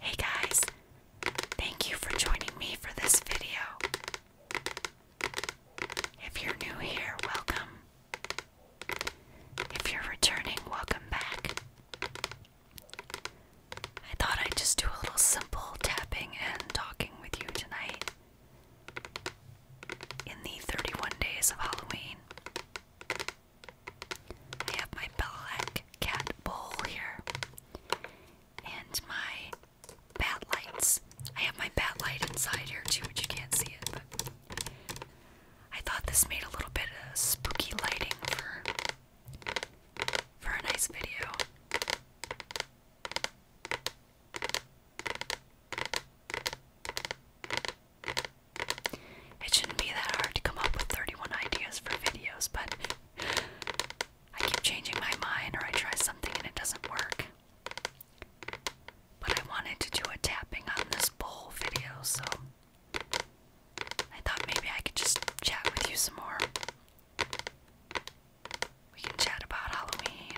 Hey guys, thank you for joining me for this video. If you're new here, welcome. If you're returning, welcome back. I thought I'd just do a little simple tapping and talking with you tonight in the 31 days of Halloween. I have my Bellac cat bowl here. And my bat lights. I have my bat light inside here too, but you can't see it. But I thought this made a little bit of spooky lighting for for a nice video. It shouldn't be that hard to come up with 31 ideas for videos, but I keep changing my mind or I try something and it doesn't work. But I wanted to do a tapping on this bowl video, so I thought maybe I could just chat with you some more. We can chat about Halloween.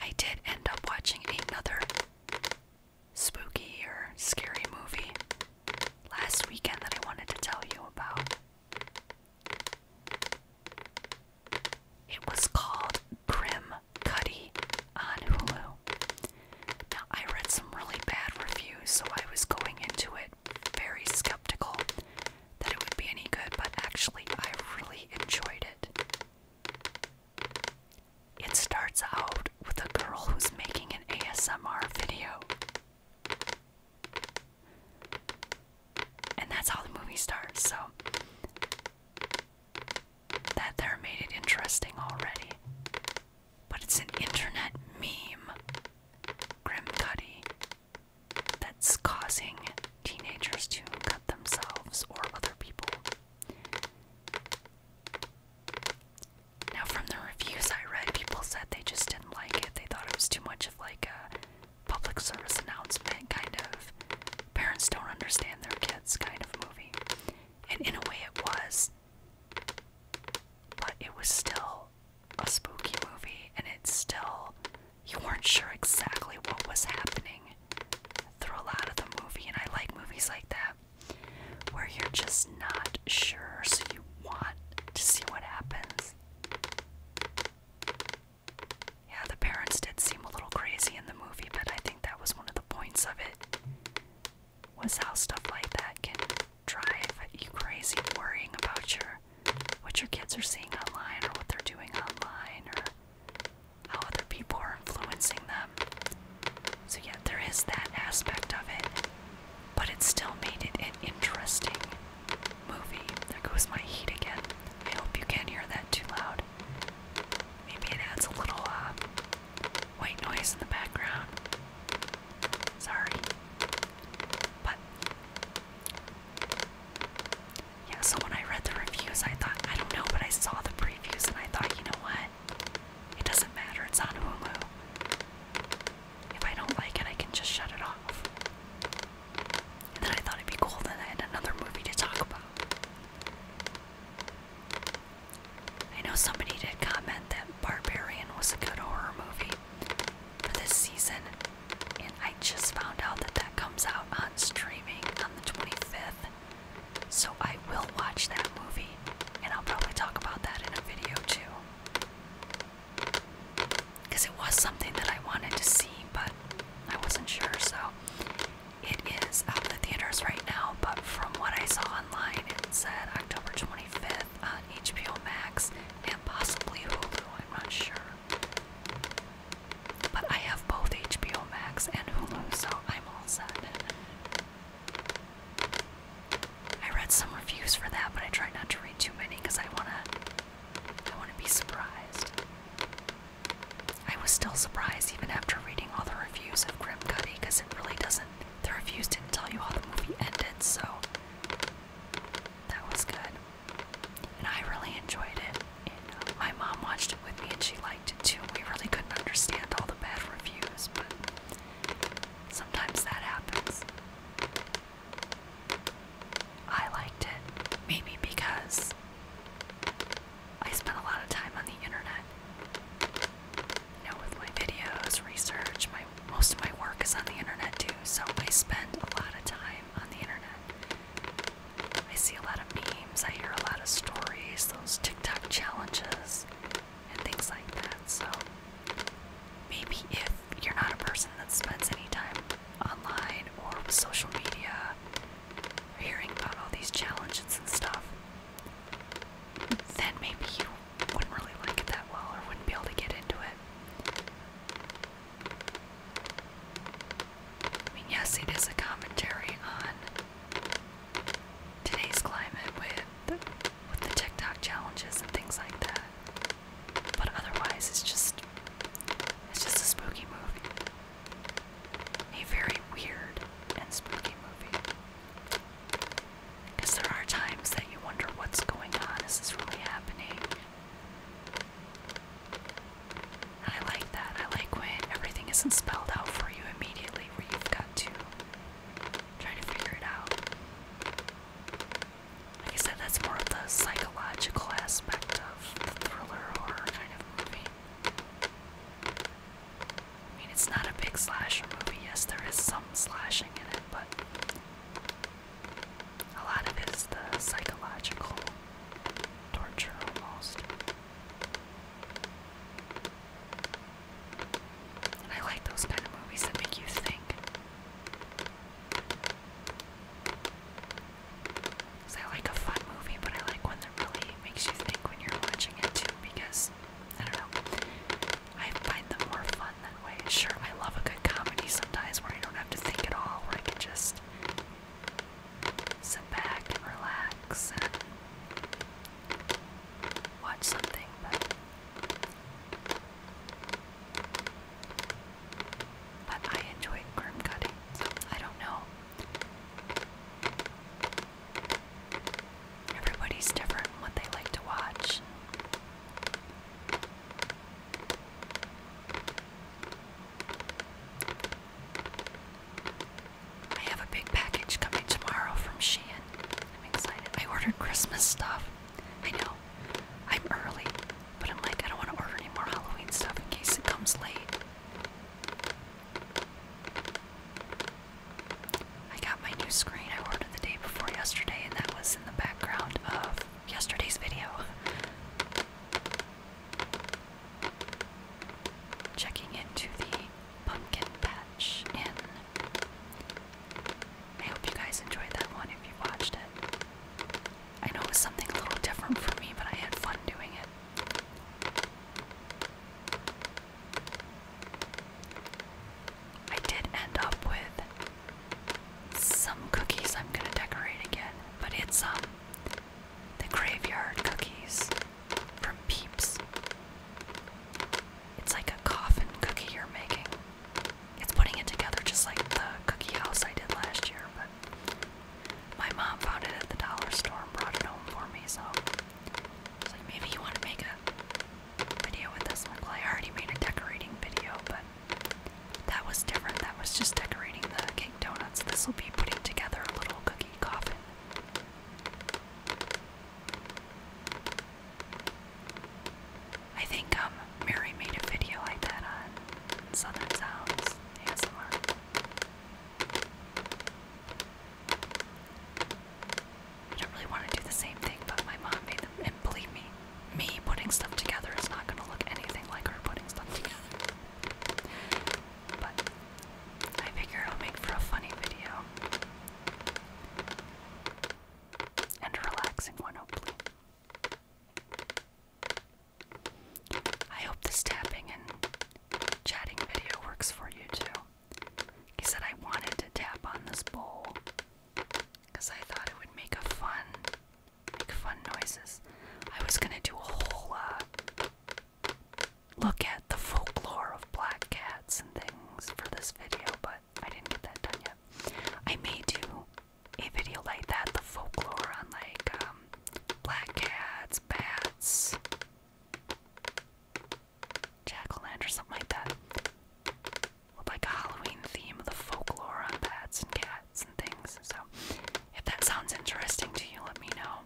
I did end up watching another spooky or scary movie last weekend that I wanted to tell you about. It was called Grim Cuddy on Hulu. Now, I read some really bad reviews, so I was going into it very skeptical that it would be any good, but actually, I really enjoyed it. It starts out with a girl who's making an ASMR video. And that's how the movie starts, so that there made it interesting already. But it's an internet meme, Grim Cuddy, that's causing teenagers to cut themselves or other people. Now, from the reviews I read, people said they just didn't like it. They thought it was too much of like a public service announcement, kind of parents don't understand their kids kind of movie. And in a way, it was. But it was still a spooky movie, and it's still. You weren't sure exactly what was happening through a lot of the movie, and I like movies like that where you're just not sure, so you want to see what happens. Yeah, the parents did seem a little crazy in the movie, but I think that was one of the points of it. Was how stuff like that can drive you crazy, worrying about your what your kids are seeing online or what they're doing online or how other people are influencing them. So, yeah, there is that aspect of it, but it still made it an interesting movie. There goes my heat again. I hope you can't hear that too loud. Maybe it adds a little uh, white noise in the background. Sorry. But yeah, so when I read the reviews, I thought, I don't know, but I saw the previews and I thought, you know what? It doesn't matter, it's on Hulu. If I don't like it, I can just shut it off. And then I thought it'd be cool that I had another movie to talk about. I know somebody did comment that Barbarian was a good horror movie for this season, and I just found out that that comes out on streaming on the 25th. So I will watch that movie, and I'll probably talk about that in a video too. Because it was something that I wanted to see, but I wasn't sure, so it is out in the theaters right now. But from what I saw online, it said October 25th on HBO Max and possibly Hulu, I'm not sure. But I have both HBO Max and Hulu, so I'm all set. I read some reviews for that, but I try not to read too many because I wanna I wanna be surprised. I was still surprised even after reading all the reviews of Grim Cuddy because it really doesn't the reviews didn't tell you how the movie ended, so that was good. And I really enjoyed it. And uh, my mom watched it with me and she liked it too. We really couldn't understand all the bad reviews, but sometimes that happens. I liked it, maybe because I spent a lot of time on the internet. You know, with my videos, research, my most of my work is on the internet too, so I spend a lot of time on the internet. I see a lot of memes, I hear a lot of stories, those TikTok challenges, and things like that. So maybe if you're not a person that spends any time online or with social media, hearing about all these challenges and stuff, then maybe you wouldn't really like it that well or wouldn't be able to get into it. I mean, yes, it is a commentary on today's climate with with the TikTok challenges and things like that. But otherwise, it's just it's just a spooky movie, a very weird and spooky movie. Because there are times that you wonder what's going on. Is this really happening? I like that. I like when everything isn't spelled out for you immediately, where you've got to try to figure it out. Like I said, that's more of the psychological aspect of the thriller horror kind of movie. I mean, it's not a big slasher movie. Yes, there is some slashing in it, but a lot of it is the psychological torture almost. I like those kind of movies that make you think. Because I like a fun movie, but I like one that really makes you think when you're watching it too, because, I don't know, I find them more fun that way. Sure, I love a good comedy sometimes where I don't have to think at all, where I can just sit back and relax and watch something, but I enjoy grim cutting. so I don't know. Everybody's different what they like to watch. I have a big package coming tomorrow from Shein. I'm excited. I ordered Christmas stuff. I know. I'm early, but I'm like, I don't want to order any more Halloween stuff in case it comes late. I got my new screen I ordered the day before yesterday, and that was in the background of yesterday's video. Checking into the pumpkin patch in. I hope you guys enjoyed that one if you watched it. I know it was something a little different for me, but I had fun doing it. I did end up with some cookies I'm gonna decorate again, but it's um the graveyard cookies from Peeps. It's like a coffin cookie you're making. It's putting it together just like the cookie house I did last year, but my mom found it at the dollar store and brought it home for me, so like maybe you want to make a video with this one. Well, I already made a decorating video, but that was different. That was just decorating the cake donuts. This will be putting together a little cookie coffin. I think um Mary made a video like that on Southern Sounds ASMR. I don't really want to do the same thing, but my mom made them, and believe me, me putting stuff together is not going to look anything like her putting stuff together. But I figure it'll make for a funny video. And a relaxing one, hopefully. I hope this tapping and chatting video works for you too. He said I wanted to tap on this bowl because I thought it would make a fun Make fun noises. I was gonna do a whole uh, look at the folklore of black cats and things for this video, but I didn't get that done yet. I may do a video like that, the folklore on like um, black cats, bats, jack-o'-lantern, something like that. like a Halloween theme of the folklore on bats and cats. So, if that sounds interesting to you, let me know.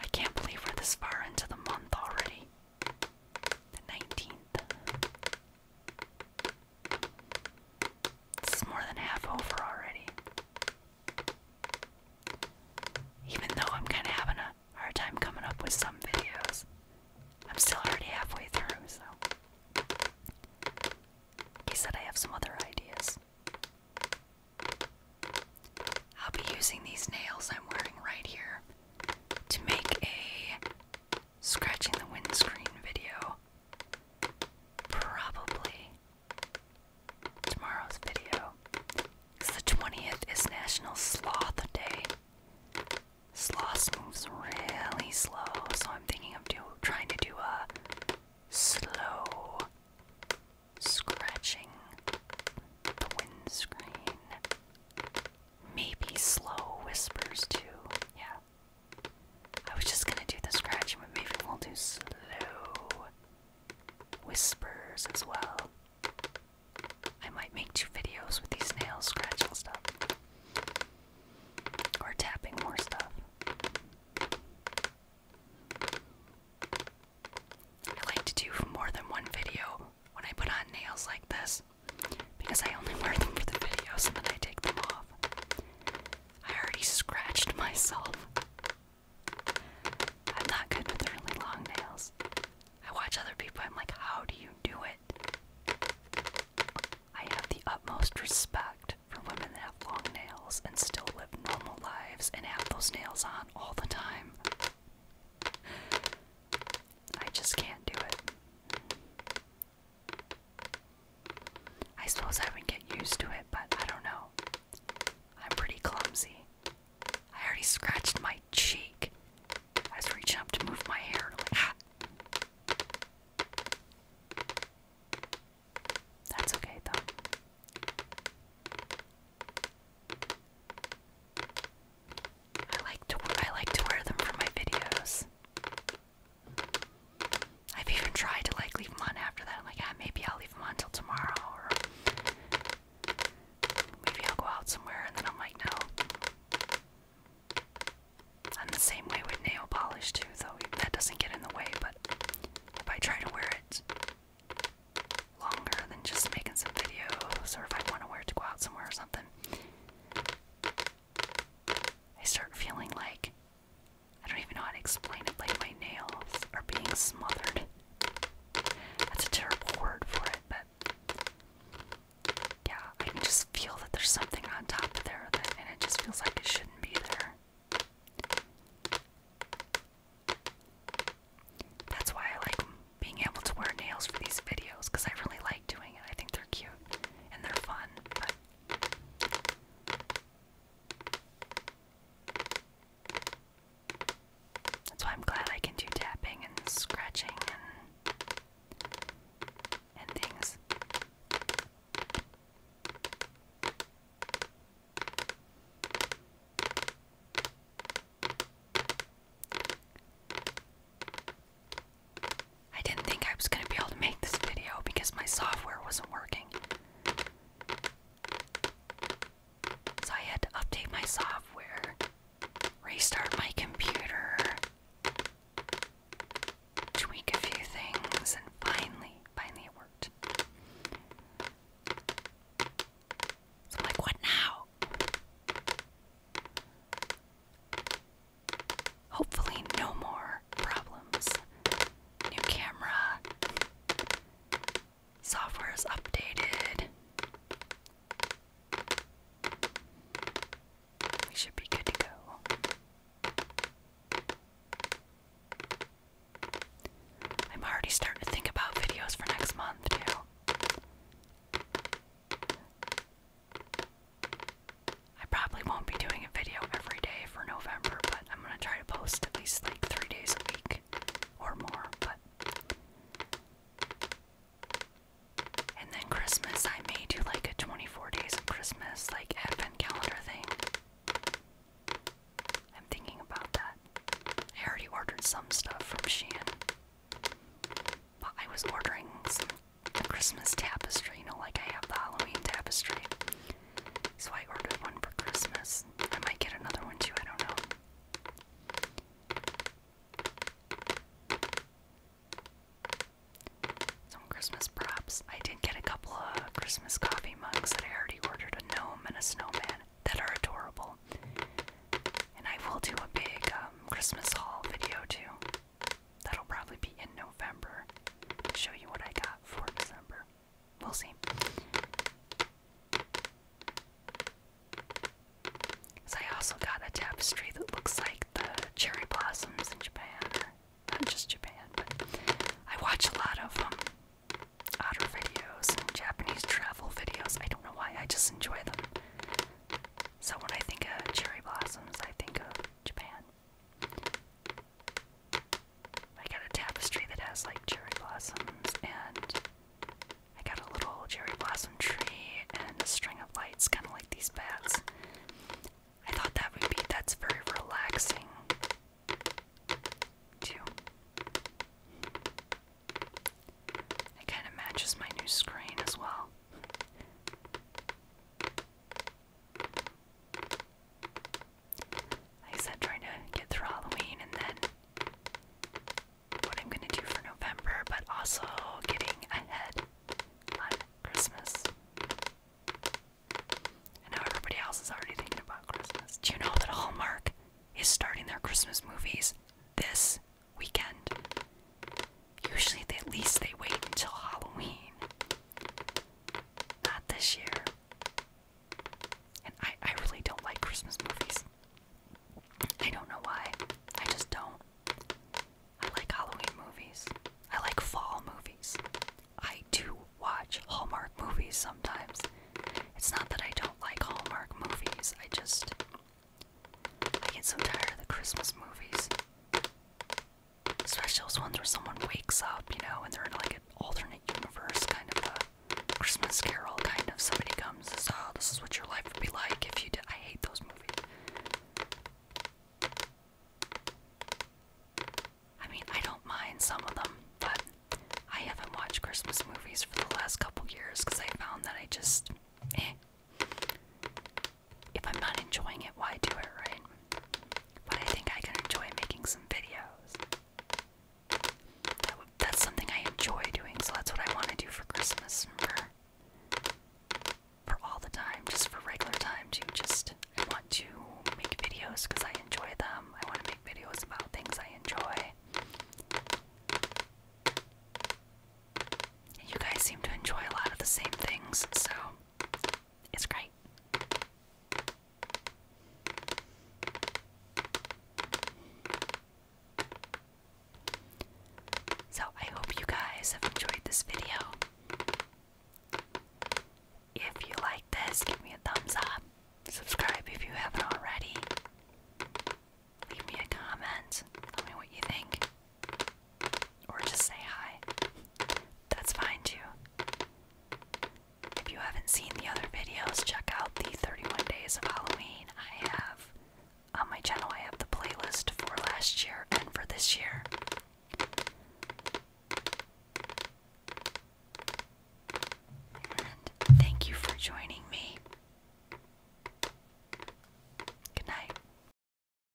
I can't believe we're this far into the month already. The 19th. This more than half over already. Even though I'm kind of having a hard time coming up with some videos, I'm still already halfway through, so. He said I have some other ideas. I'll be using these nails I'm wearing right here to make a scratching the windscreen video. Probably tomorrow's video. Cause the 20th is National Sloth Day. Sloth moves really slow, so I'm thinking of do trying to do a slow scratching the windscreen. Maybe slow whispers too. Yeah. I was just gonna do the scratching, but maybe we'll do slow whispers as well. I might make two videos with these nails scratching stuff. Or tapping more stuff. I like to do more than one video when I put on nails like this because I only wear them for the videos and then I take them off. I already scratched myself. I'm not good with really long nails. I watch other people, I'm like, how do you do it? I have the utmost respect for women that have long nails and still live normal lives and have those nails on all the time. I just can't do it. I suppose I would get used to it, but I don't know. I'm pretty clumsy. I already scratched my cheek. I was reaching up to move my hair ah. That's okay though. I like to I like to wear them for my videos. I've even tried to like leave them on after that. I'm like, ah, maybe I'll leave them on until tomorrow, or maybe I'll go out somewhere, and then I'm like, no. I'm the same way with nail polish too, though that doesn't get in the way. But if I try to wear it longer than just making some videos, or if I want to wear it to go out somewhere or something, I start feeling like I don't even know how to explain it, like my nails are being smothered. That's a terrible word for it, but yeah, I can just feel that there's something on top of there, that, and it just feels like it shouldn't be there. That's why I like being able to wear nails for these videos, because I really like doing it. I think they're cute and they're fun, that's why I'm glad I can do tapping and scratching and things. I didn't think I was going to be able to make this video because my software wasn't working. So I had to update my software, restart my computer, tweak a few things, and finally, finally it worked. So like, what now? Hopefully, no more problems. New camera. Software is updated. We should be good to go. I'm already starting to think about videos for next month, too. I probably won't be doing a video every day for November, but I'm gonna try to post at least like three days a week or more. But and then Christmas, I may do like a 24 days of Christmas, like advent calendar thing. I'm thinking about that. I already ordered some stuff from Shein. But I was ordering some Christmas tapestry, you know, like I have the Halloween tapestry. So I ordered one for Christmas. I might get another one too, I don't know. Some Christmas props. I did get a couple of Christmas coffee mugs that I already ordered a gnome and a snowman that are adorable. And I will do a big um, Christmas haul video too. That'll probably be in November to show you what I got for December. We'll see. So I also got a tapestry that looks like the cherry blossoms in Japan, not just Japan, I watch a lot of um, otter videos and Japanese travel videos. I don't know why, I just enjoy them. So when I think of cherry blossoms, I think of Japan. I got a tapestry that has like cherry blossoms, and I got a little cherry blossom tree and a string of lights, kind of like these bats. I thought that would be that's very relaxing, too. It kind of matches my new screen as well. I said, trying to get through Halloween and then what I'm gonna do for November, but also getting ahead on Christmas. I know everybody else is already thinking about Christmas. Do you know that Hallmark is starting their Christmas movies this weekend? Usually, at least they wait until Halloween. Not this year. And I, I really don't like Christmas movies. I don't know why. I just don't. I like Halloween movies. I like fall movies. I do watch Hallmark movies sometimes. It's not that I don't like Hallmark movies, I just. I get so tired of the Christmas movies. Especially those ones where someone wakes up, you know, and they're in like an alternate universe, kind of a Christmas Carol kind of. Somebody comes and says, "Oh, this is what your life would be like if you did." I hate those movies. I mean, I don't mind some of them, but I haven't watched Christmas movies for the last couple years because I found that I just, eh if I'm not enjoying it, why do it, right? But I think I can enjoy making some videos. that's something I enjoy doing, so that's what I want to do for Christmas. For all the time, just for regular time, too. Just I want to make videos because I enjoy them. I want to make videos about things I enjoy. you guys seem to enjoy a lot of the same things, so it's great. So, I hope you guys have enjoyed this video. If you like this, give me a thumbs up. Subscribe if you haven't already. Leave me a comment. Tell me what you think. Or just say hi. That's fine too. If you haven't seen the other videos, check out the 31 Days of Halloween. I have on my channel, I have the playlist for last year and for this year. And thank you for joining me. Good night.